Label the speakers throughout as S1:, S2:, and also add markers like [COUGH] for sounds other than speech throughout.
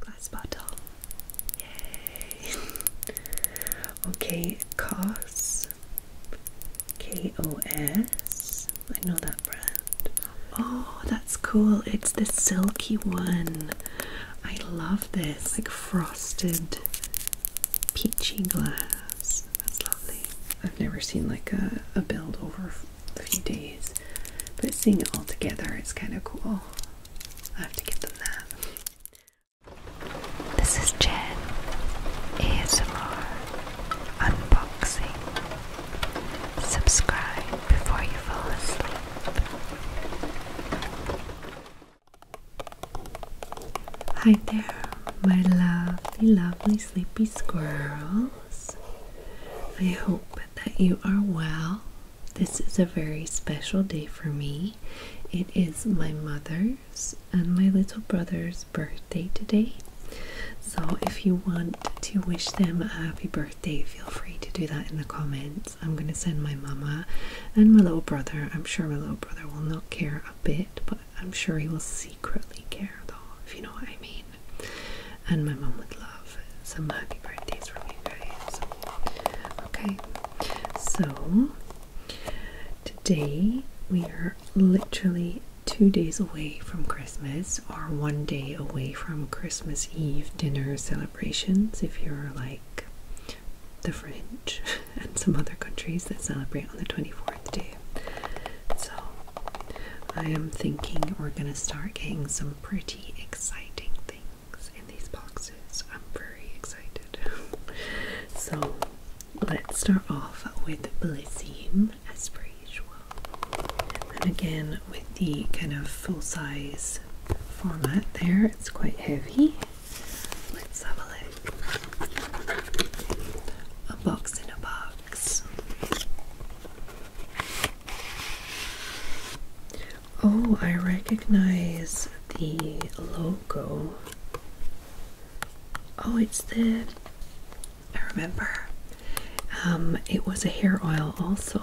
S1: Glass bottle. Yay! [LAUGHS] okay, Kos. K O S. I know that brand. Oh, that's cool. It's the silky one. I love this. Like frosted peachy glass. That's lovely. I've never seen like a, build over a few days, but seeing it all together it's kind of cool. This is Jen ASMR Unboxing. Subscribe before you fall asleep. Hi there, my lovely, lovely sleepy squirrels. I hope that you are well. This is a very special day for me. It is my mother's and my little brother's birthday today. So if you want to wish them a happy birthday, feel free to do that in the comments. I'm going to send my mama and my little brother. I'm sure my little brother will not care a bit, but I'm sure he will secretly care though, if you know what I mean and my mom would love some happy birthdays from you guys. Okay, so today we are literally two days away from Christmas or one day away from Christmas Eve dinner celebrations if you're like the French [LAUGHS] and some other countries that celebrate on the 24th day. So I am thinking we're going to start getting some pretty exciting things in these boxes. I'm very excited. [LAUGHS] so let's start off with Blysium as per usual. And again with the kind of full-size format there, it's quite heavy. Let's have a look. A box in a box. Oh, I recognize the logo. Oh, it's the. I remember. Um, it was a hair oil also.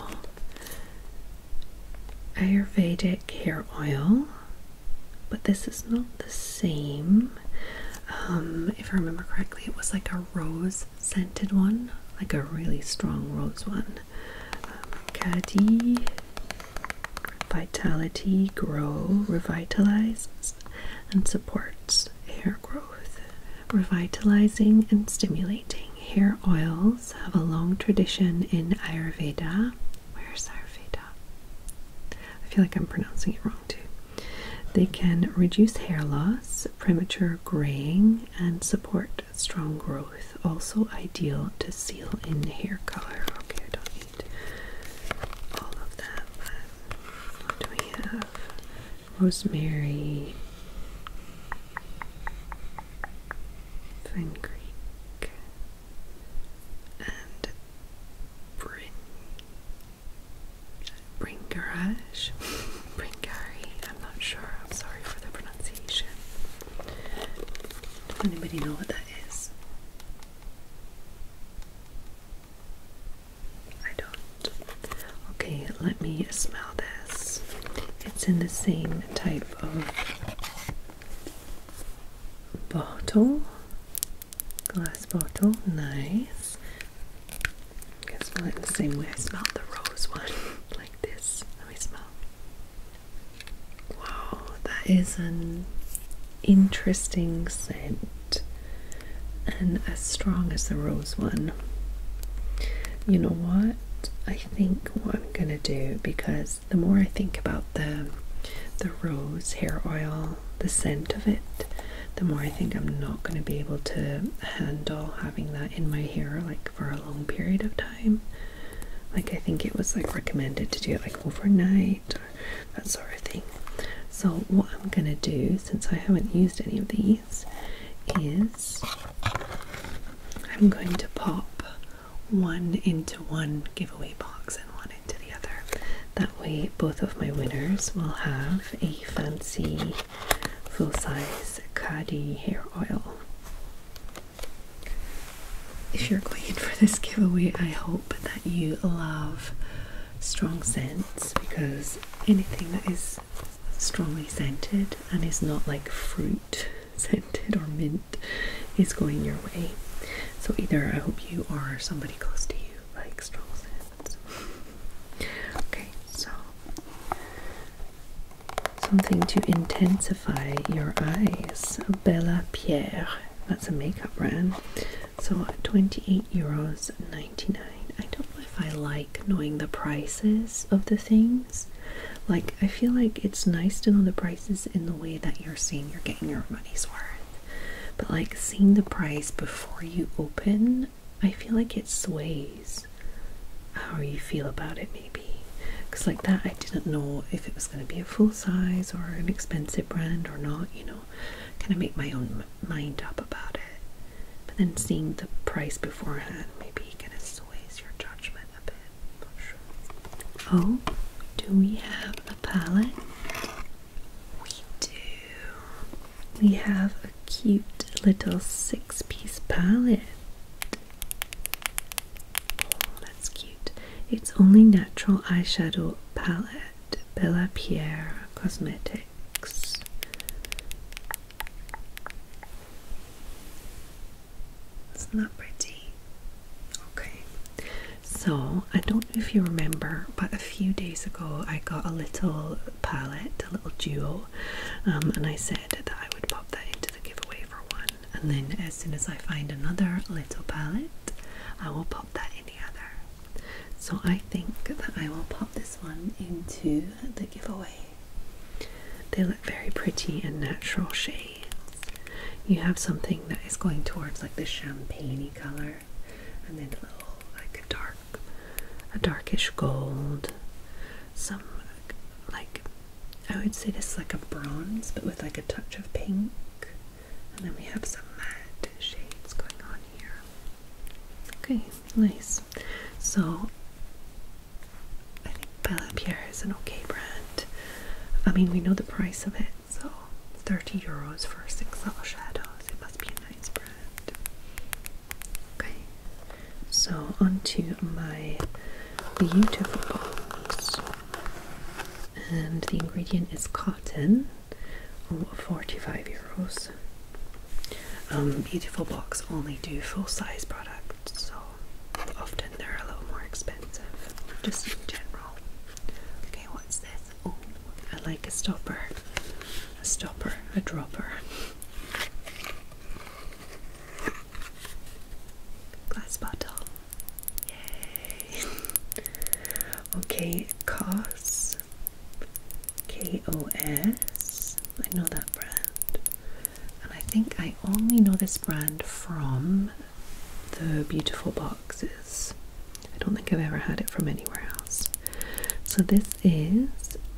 S1: Ayurvedic hair oil, but this is not the same. Um, if I remember correctly, it was like a rose scented one, like a really strong rose one on um, Vitality Grow revitalizes and supports hair growth. Revitalizing and stimulating hair oils have a long tradition in Ayurveda. Where's Ayurveda? I feel like I'm pronouncing it wrong too. They can reduce hair loss, premature graying, and support strong growth, also ideal to seal in hair color. Okay, I don't need all of that, what do we have? Rosemary, fenugreek, and bring. Bangladesh, Bringari, I'm not sure, I'm sorry for the pronunciation. Does anybody know what that is? I don't. Okay, let me smell this. It's in the same type of bottle, glass bottle, nice. I can smell it the same way I smelled the rose one. [LAUGHS] like this. Let me smell. Wow, that is an interesting scent and as strong as the rose one. You know what? I think what I'm gonna do because the more I think about the the rose hair oil, the scent of it, the more I think I'm not gonna be able to handle having that in my hair like for a long period of time. Like I think it was like recommended to do it like overnight or that sort of thing. So what I'm gonna do since I haven't used any of these is I'm going to pop one into one giveaway box and one into the other. That way both of my winners will have a fancy full-size Kadi hair oil. If you're going for this giveaway, I hope that you love strong scents because anything that is strongly scented and is not like fruit [LAUGHS] scented or mint is going your way. So either I hope you are somebody close to you like strong scents. [LAUGHS] Okay, so something to intensify your eyes Bella Pierre that's a makeup brand so 28 euros 99 I don't know if I like knowing the prices of the things like I feel like it's nice to know the prices in the way that you're seeing you're getting your money's worth but like seeing the price before you open I feel like it sways how you feel about it, maybe. Because, like that, I didn't know if it was going to be a full size or an expensive brand or not, you know. Kind of make my own mind up about it. But then seeing the price beforehand maybe kind of sways your judgment a bit. Oh, do we have a palette? We do. We have cute little six-piece palette. Oh, that's cute. It's only natural eyeshadow palette, Bella Pierre Cosmetics. Isn't that pretty? Okay. So, I don't know if you remember, but a few days ago I got a little palette, a little duo um, and I said that I would pop that into the giveaway for one. And then as soon as I find another little palette, I will pop that in the other. So I think that I will pop this one into the giveaway. They look very pretty and natural shades. You have something that is going towards like the champagne color and then a little like dark a darkish gold, some like I would say this like a bronze, but with like a touch of pink. And then we have some matte shades going on here. Okay, nice. So I think Bella Pierre is an okay brand. I mean, we know the price of it, so 30 euros for six little shadows. It must be a nice brand. Okay, so onto my beautiful box, and the ingredient is cotton. Oh, 45 euros. Um, beautiful box only do full size products, so often they're a little more expensive, just in general. Okay, what's this? Oh, I like a stopper, a stopper, a dropper. Glass bottle. Yay. okay, COS. K O S. I know that brand. And I think I only know this brand from the beautiful boxes. I don't think I've ever had it from anywhere else. So this is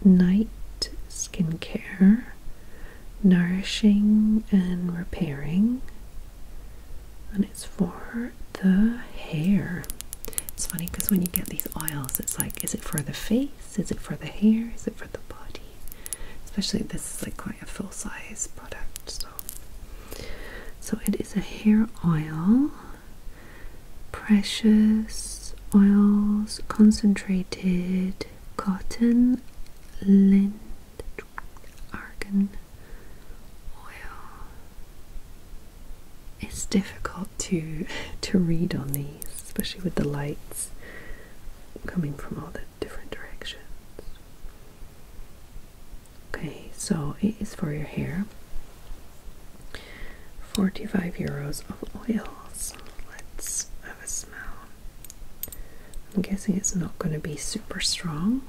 S1: Night Skincare Nourishing and Repairing, and it's for the hair. It's funny because when you get these oils, it's like, is it for the face? Is it for the hair? Is it for the body? Especially this is like quite a full size product. So, so it is a hair oil precious oils, concentrated cotton, lint, argan oil. It's difficult to [LAUGHS] to read on these, especially with the lights coming from all the different directions. Okay, so it is for your hair. 45 euros of oils. Let's have a smell. I'm guessing it's not going to be super strong.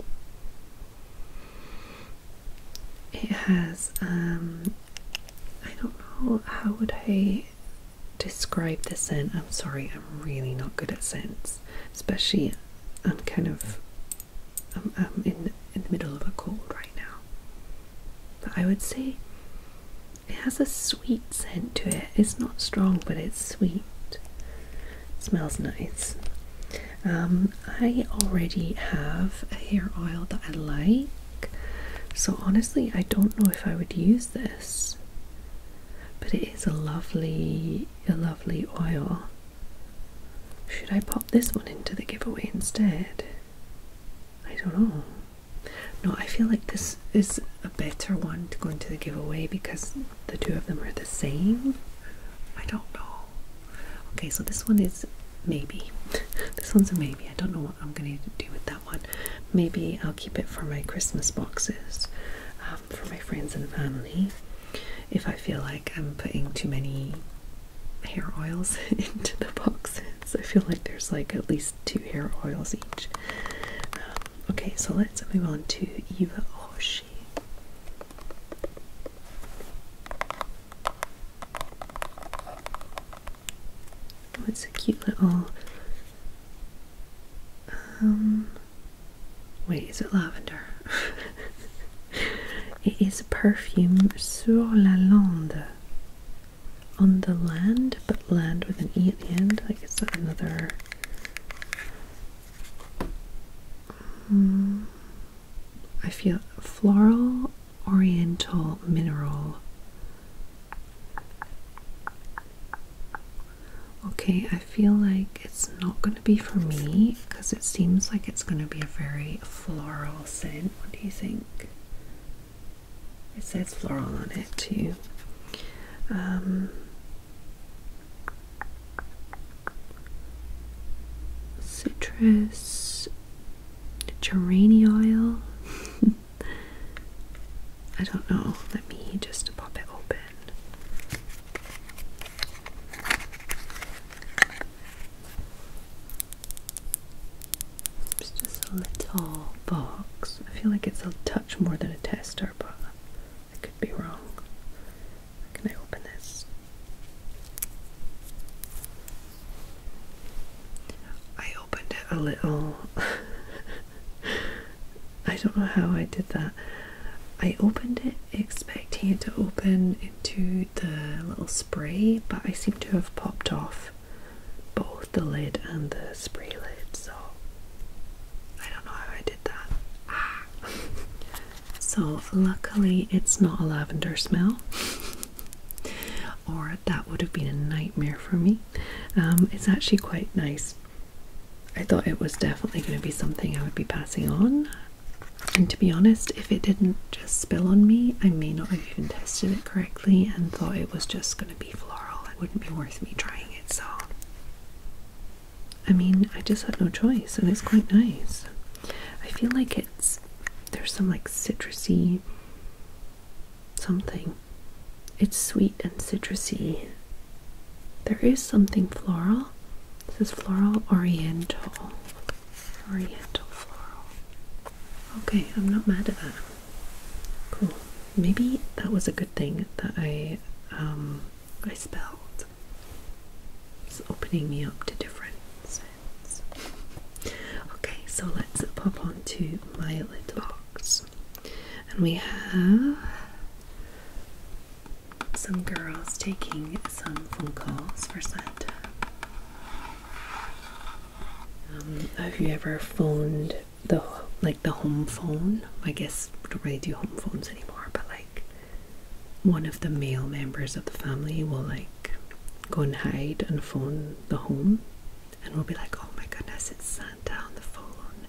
S1: It has, um, I don't know, how would I describe the scent? I'm sorry, I'm really not good at scents, especially I'm kind of, I'm, I'm in, in the middle of a cold right now. I would say it has a sweet scent to it. It's not strong, but it's sweet. smells nice. Um, I already have a hair oil that I like, so honestly, I don't know if I would use this. But it is a lovely, a lovely oil. Should I pop this one into the giveaway instead? I don't know. No, I feel like this is a better one to go into the giveaway because the two of them are the same. I don't know. Okay, so this one is maybe. [LAUGHS] This one's a maybe. I don't know what I'm going to do with that one. Maybe I'll keep it for my Christmas boxes um, for my friends and family. If I feel like I'm putting too many hair oils [LAUGHS] into the boxes. I feel like there's like at least two hair oils each. Um, okay, so let's move on to Eva Oshi. Oh, it's a cute little. Um, wait, is it lavender? [LAUGHS] it is a perfume Sur la Lande on the land, but land with an E at the end. Like, is that another. Hmm, I feel floral, oriental, mineral. Okay, I feel like it's not going to be for me because it seems like it's going to be a very floral scent. What do you think? It says floral on it too. Um, citrus, geraniol. [LAUGHS] I don't know. Let me just pop it open. It's just a little box. I feel like it's a touch more than a tester, but I could be wrong. Can I open this? I opened it a little. [LAUGHS] I don't know how I did that. I opened it expecting it to open to the little spray, but I seem to have popped off both the lid and the spray lid, so I don't know how I did that. Ah. [LAUGHS] so, luckily, it's not a lavender smell, or that would have been a nightmare for me. Um, it's actually quite nice. I thought it was definitely going to be something I would be passing on. And to be honest, if it didn't just spill on me, I may not even tested it correctly and thought it was just going to be floral. It wouldn't be worth me trying it, so. I mean, I just had no choice, and it's quite nice. I feel like it's. There's some like citrusy something. It's sweet and citrusy. There is something floral. This is floral oriental. Oriental floral. Okay, I'm not mad at that. Cool. Maybe that was a good thing that I um I spelled. It's opening me up to different scents. Okay, so let's pop on to my little box. And we have some girls taking some phone calls for Santa. Um, have you ever phoned the like the home phone? I guess we don't really do home phones anymore, but like one of the male members of the family will like go and hide and phone the home, and we'll be like, oh my goodness, it's Santa on the phone,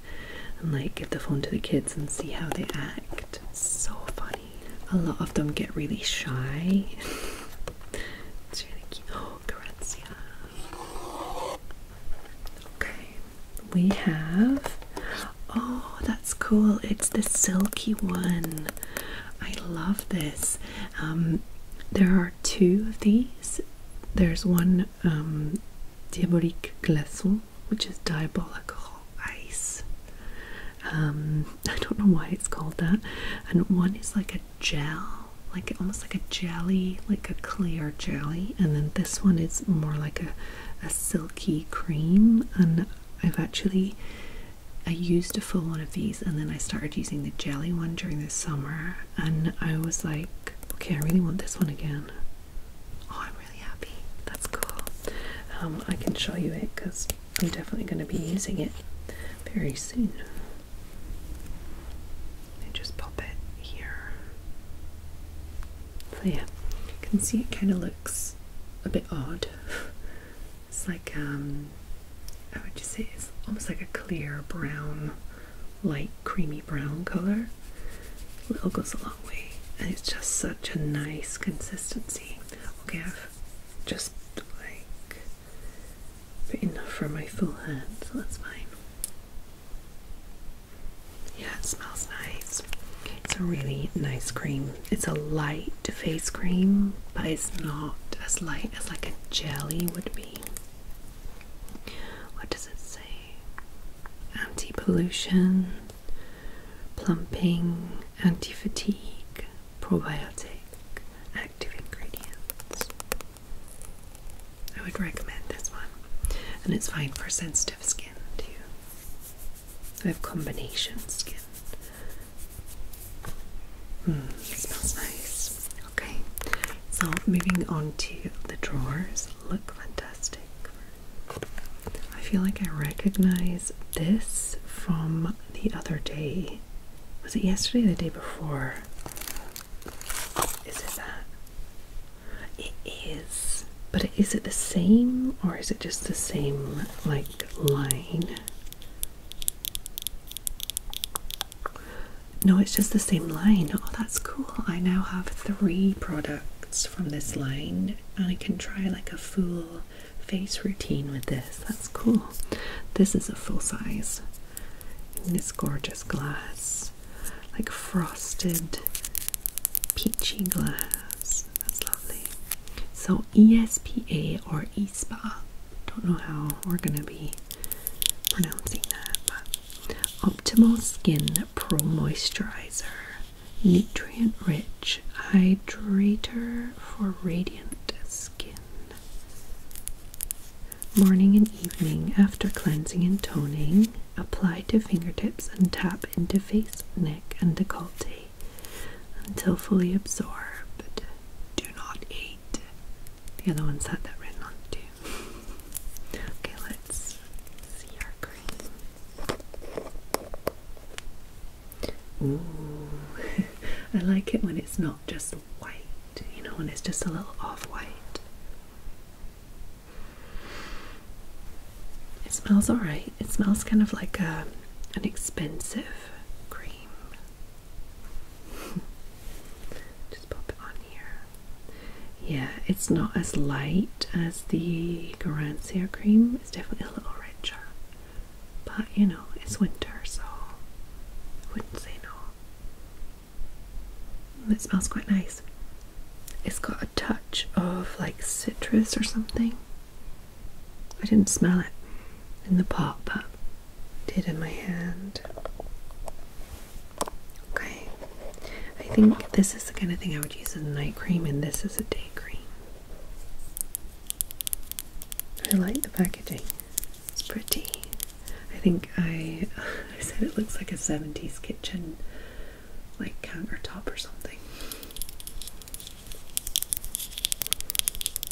S1: and like give the phone to the kids and see how they act. It's so funny a lot of them get really shy. [LAUGHS] it's really cute. Oh, Garancia. Okay, we have. Oh, that's cool. It's the silky one. I love this. Um, there are two of these. There's one um, Diabolique Glaçon, which is diabolical ice. Um, [LAUGHS] I don't know why it's called that. And one is like a gel, like almost like a jelly, like a clear jelly. And then this one is more like a, a silky cream. And I've actually I used a full one of these, and then I started using the jelly one during the summer. And I was like, okay, I really want this one again. Oh, I'm really happy. That's cool. Um, I can show you it because I'm definitely going to be using it very soon. I just pop it here. So yeah, you can see it kind of looks a bit odd. [LAUGHS] it's like um, I would just say it's almost like a clear brown, light creamy brown color. Little goes a long way, and it's just such a nice consistency. Okay, just like but enough for my full head, so that's fine. Yeah, it smells nice. It's a really nice cream. It's a light face cream, but it's not as light as like a jelly would be. What does it say? Anti pollution, plumping, anti fatigue, probiotic active ingredients. I would recommend this one, and it's fine for sensitive skin too. I have combination skin. Mm, smells nice. Okay, so moving on to the drawers, look fantastic. I feel like I recognize this from the other day. Was it yesterday or the day before? Is it that? It is. But is it the same or is it just the same, like, line? No, it's just the same line. Oh, that's cool. I now have three products from this line and I can try like a full face routine with this. That's cool. This is a full size. And this gorgeous glass, like frosted peachy glass. That's lovely. So ESPA or ESPA. Don't know how we're gonna be pronouncing that, but Optimal Skin Pro Moisturizer. Nutrient rich hydrator for radiant radiant skin. Morning and evening after cleansing and toning, apply to fingertips and tap into face, neck, and decollete until fully absorbed. Do not eat. The other ones had that red on too. okay, let's see our cream. Ooh, [LAUGHS] I like it when it's not just white, you know, when it's just a little off-white. It smells alright. It smells kind of like a, uh, an expensive cream. [LAUGHS] Just pop it on here. Yeah, it's not as light as the Garancia cream. It's definitely a little richer. But you know, it's winter, so I wouldn't say no. It smells quite nice. It's got a touch of like citrus or something. I didn't smell it in the pot, but did in my hand. Okay, I think this is the kind of thing I would use as night cream, and this is a day cream. I like the packaging. It's pretty. I think I, [LAUGHS] said it looks like a 70s kitchen like countertop or something.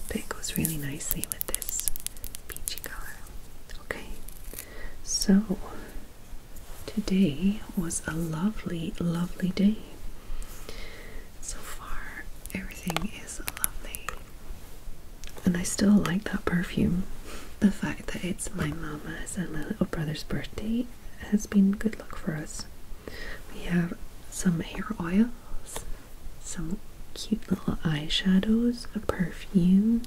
S1: But it goes really nicely with this peachy color. Okay, so today was a lovely, lovely day. So far, everything is lovely. And I still like that perfume. The fact that it's my mama's and my little brother's birthday has been good luck for us. We have some hair oils, some cute little eyeshadows, a perfume,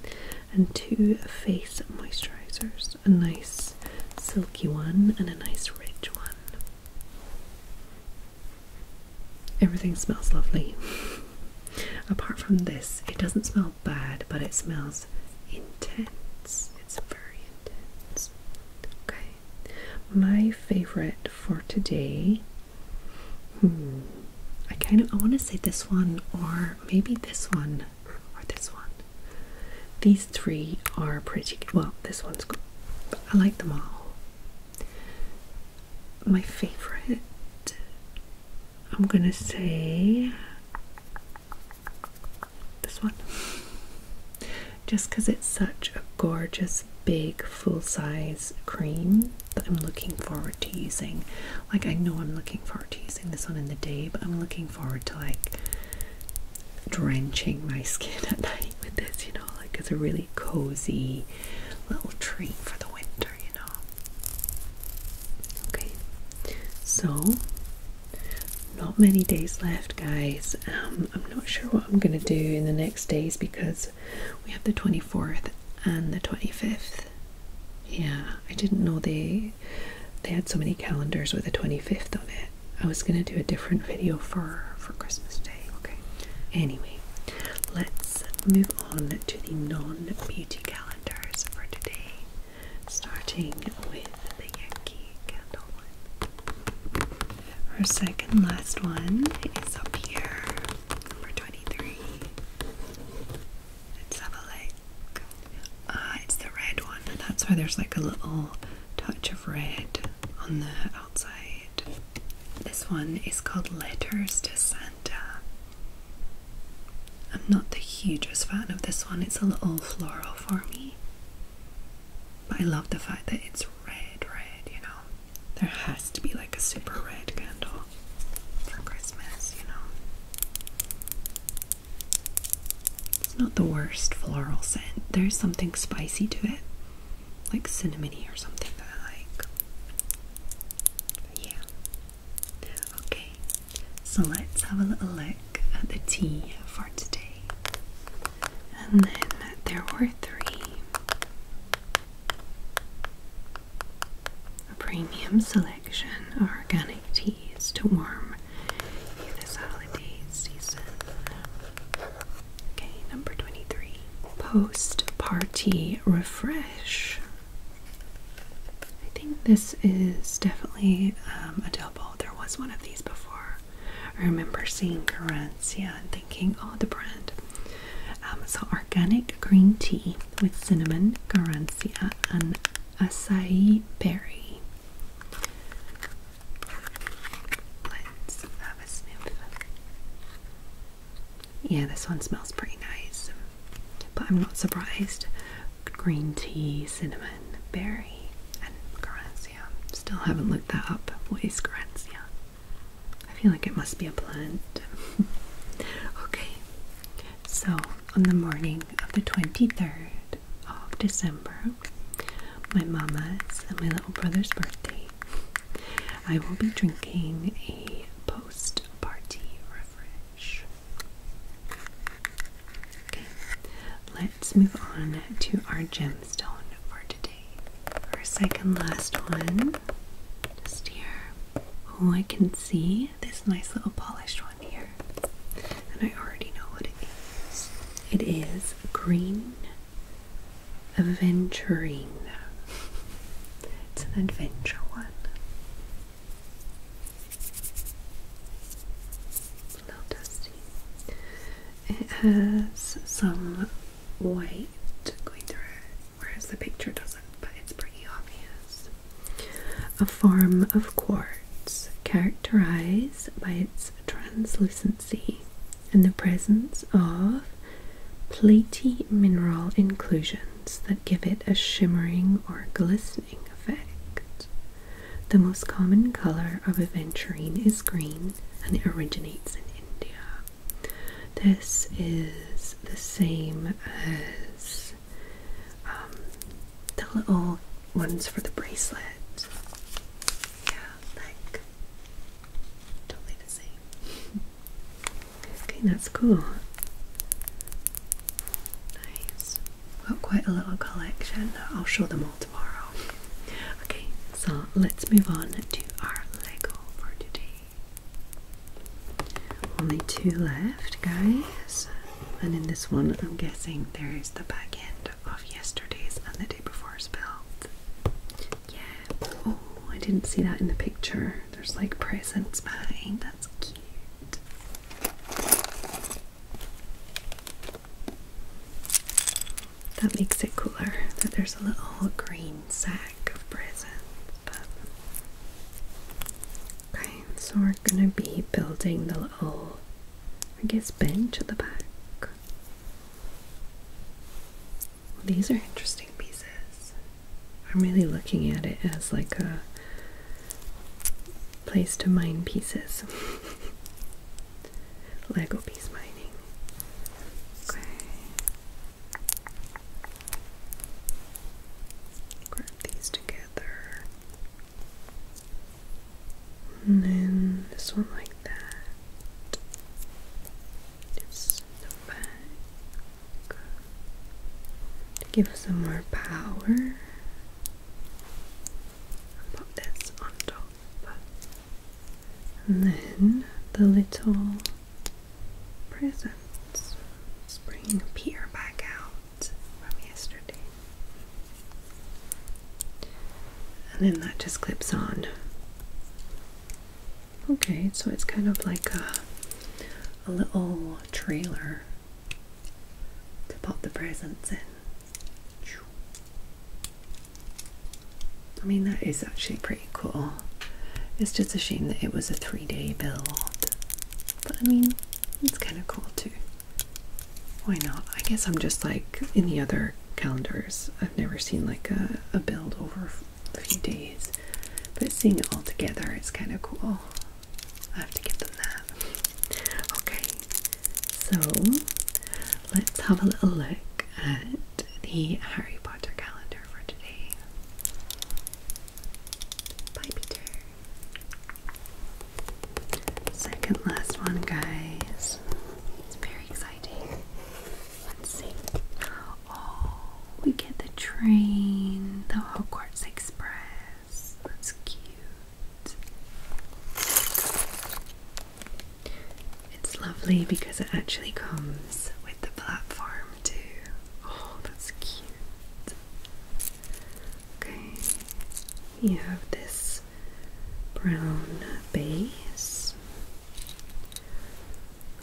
S1: and two face moisturizers. A nice silky one and a nice rich one. Everything smells lovely. Apart from this, it doesn't smell bad, but it smells intense. It's very intense. Okay. My favorite for today. Hmm. I kind of I want to say this one or maybe this one or this one. The three are pretty well this one's good I like them all my favorite I'm gonna say this one just because it's such a gorgeous big full-size cream that I'm looking forward to using like I know I'm looking forward to using this one in the day but I'm looking forward to like drenching my skin at night with this, you know, like it's a really cozy little treat for the winter, you know. Okay, so not many days left, guys. Um, I'm not sure what I'm gonna do in the next days because we have the 24th and the 25th. Yeah, I didn't know they they had so many calendars with a 25th on it. I was gonna do a different video for for Christmas Day. Okay. Anyway, let's move on to the non-beauty calendars for today, starting with the Yankee candle one. Our second last one is up here, number twenty-three. Let's have a look. Uh, it's the red one. That's why there's like a little touch of red on the this one is called Letters to Santa. I'm not the hugest fan of this one, it's a little floral for me. But I love the fact that it's red, red, you know. There has to be like a super red candle for Christmas, you know. It's not the worst floral scent. There's something spicy to it, like cinnamony or something that I like. yeah. Okay, so let's have a little look at the tea for today. And then there were three a premium selection organic teas to warm you this holiday season. Okay, number 23. Post party refresh. I think this is definitely um, a double. There was one of these before. I remember seeing Garancia and thinking, oh, the brand. Um, so, organic green tea with cinnamon, Garancia, and acai berry. Yeah, this one smells pretty nice, but I'm not surprised. Green tea, cinnamon, berry, and Garancia. Still haven't looked that up. What is Garancia? I feel like it must be a plant. [LAUGHS] okay, so on the morning of the 23rd of December, my mama's, and my little brother's birthday, I will be drinking a post party refresh. Okay, let's move on to our gemstone for today. Our second last one, just here. Oh, I can see this nice little polished one here, and I already know what it is. It is green aventurine. It's an adventure one. A little dusty. It has some white going through it, whereas the picture doesn't, but it's pretty obvious. A form of quartz characterized by its translucent in the presence of platy mineral inclusions that give it a shimmering or glistening effect. The most common color of aventurine is green and it originates in India. This is the same as um, the little ones for the bracelet. Yeah, like totally the same. [LAUGHS] okay, that's cool. Nice. Got quite a little collection. I'll show them all tomorrow. Okay, so let's move on to our Lego for today. Only two left, guys. And in this one, I'm guessing there is the back end of yesterday's and the day before's build. Yeah. Oh, I didn't see that in the picture. There's like presents behind. That's cute. That makes it cooler that there's a little green sack of presents. okay, so we're gonna be building the little, I guess, bench at the back these are interesting pieces. I'm really looking at it as like a place to mine pieces. [LAUGHS] Lego piece mining. Okay. Grab these together. And then this one like that. Just the back. To give some more power. Put this on top. And then the little presents. Let's bring back out from yesterday and then that just clips on. Okay, so it's kind of like a, a little trailer to pop the presents in. I mean, that is actually pretty cool. It's just a shame that it was a three day build. But I mean, it's kind of cool too. Why not? I guess I'm just like in the other calendars. I've never seen like a, build over a few days, but seeing it all together is kind of cool. I have to give them that. Okay, so let's have a little look at the Harry Potter calendar for today. Bye, Peter. Second last one, guys. It's very exciting. Let's see. Oh, we get the train, the Hogwarts Express. That's cute. It's lovely because it actually comes with the platform, too. Oh, that's cute. Okay, you have this brown base.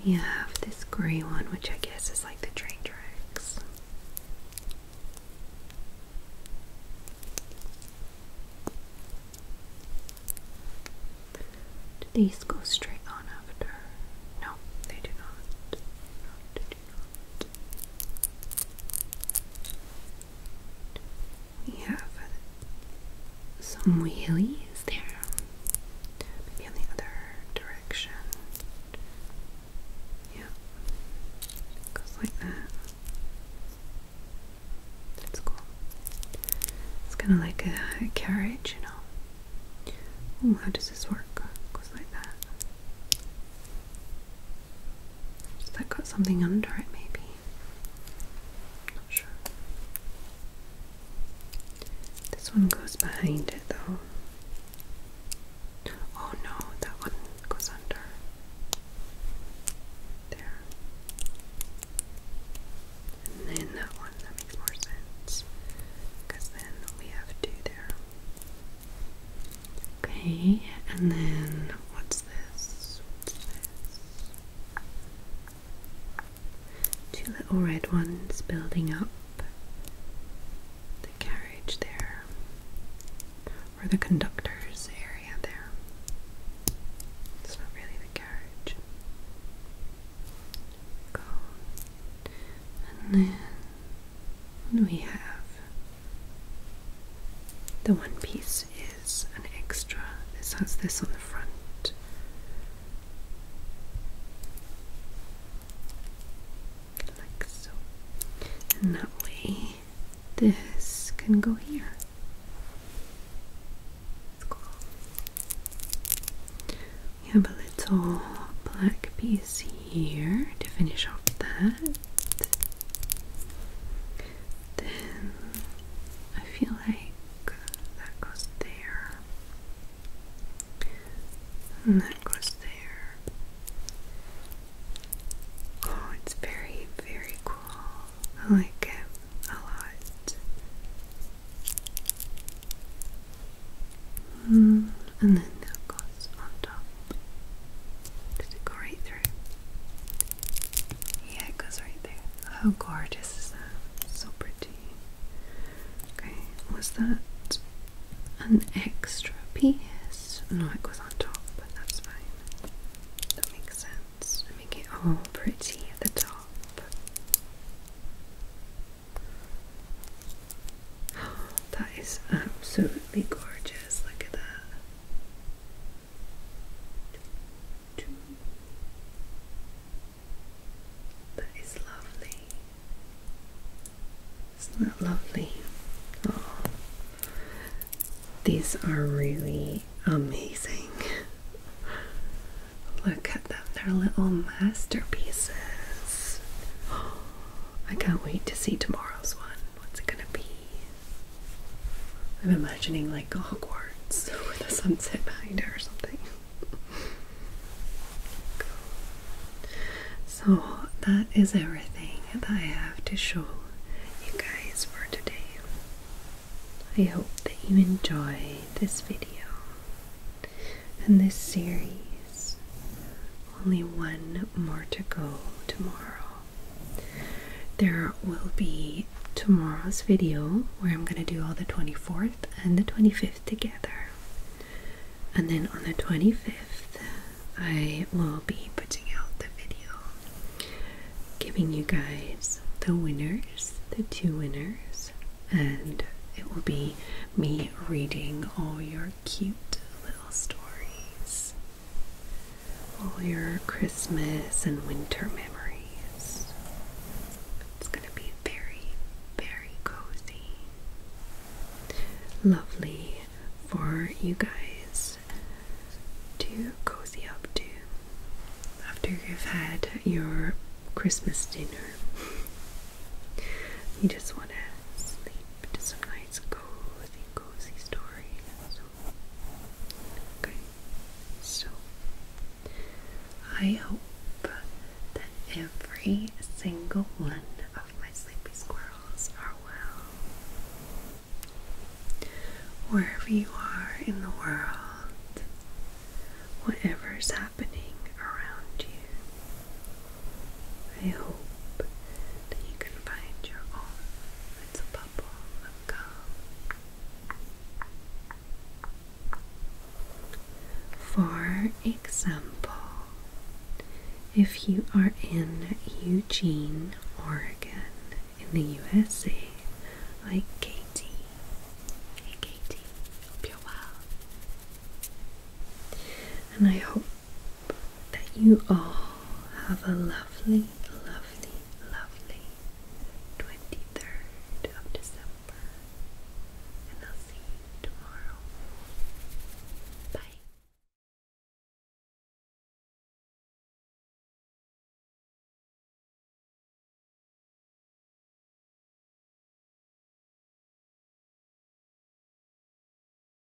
S1: We have this grey one, which I guess is like the train tracks. Do these go straight on after? No, they do not. We have some wheelies there. Maybe in the other direction. Yeah. goes like that. That's cool. It's kind of like a, carriage, you know. Ooh, how does this work? goes like that. Has that got something under it, maybe? Not sure. This one goes behind it, though. Oh no, that one goes under. There. then that one, that makes more sense. Because then we have two there. Okay, and then what's this? What's this? Two little red ones building up the carriage there, or the conductor's area there. It's not really the carriage. And then we have? The one piece is an extra. This has this on the front. Like so. And that way this can go here. cool. We have a little black piece here to finish off that. Then I feel like that goes there, and that goes there. Oh, it's very, very cool. I like it a lot. Mm, and then floss on top. Does it go right through? Yeah, it goes right there. How gorgeous is So pretty. Okay, was that an extra piece? No, it goes on top, but that's fine. That makes sense. Make it all pretty at the top. [GASPS] That is absolutely gorgeous. Look at that. That is lovely. Isn't that lovely? Oh, these are really amazing. Look at them, they're little masterpieces. [GASPS] I can't wait to see tomorrow's one. What's it gonna be? I'm imagining like Hogwarts [LAUGHS] with a sunset behind her or something. [LAUGHS] So that is everything that I have to show you guys for today. I hope that you enjoy this video and this series. Only one more to go tomorrow. There will be tomorrow's video where I'm going to do all the 24th and the 25th together. And then on the 25th, I will be putting out the video giving you guys the winners, the two winners, and it will be me reading all your cute little stories all your Christmas and winter memories. It's going to be very, very cozy. Lovely for you guys to cozy up to after you've had your Christmas dinner. [LAUGHS] You just want to sleep to some nice cozy cozy story Okay, so I hope that every single one of my sleepy squirrels are well. Wherever you are in the world, whatever's happening around you, I hope that you can find your own little bubble of calm. For example, if you are in Eugene, Oregon, in the USA, like Katie. Hey Katie, hope you're well. And I hope that you all have a lovely, lovely, lovely 23rd of December. And I'll see you tomorrow. Bye.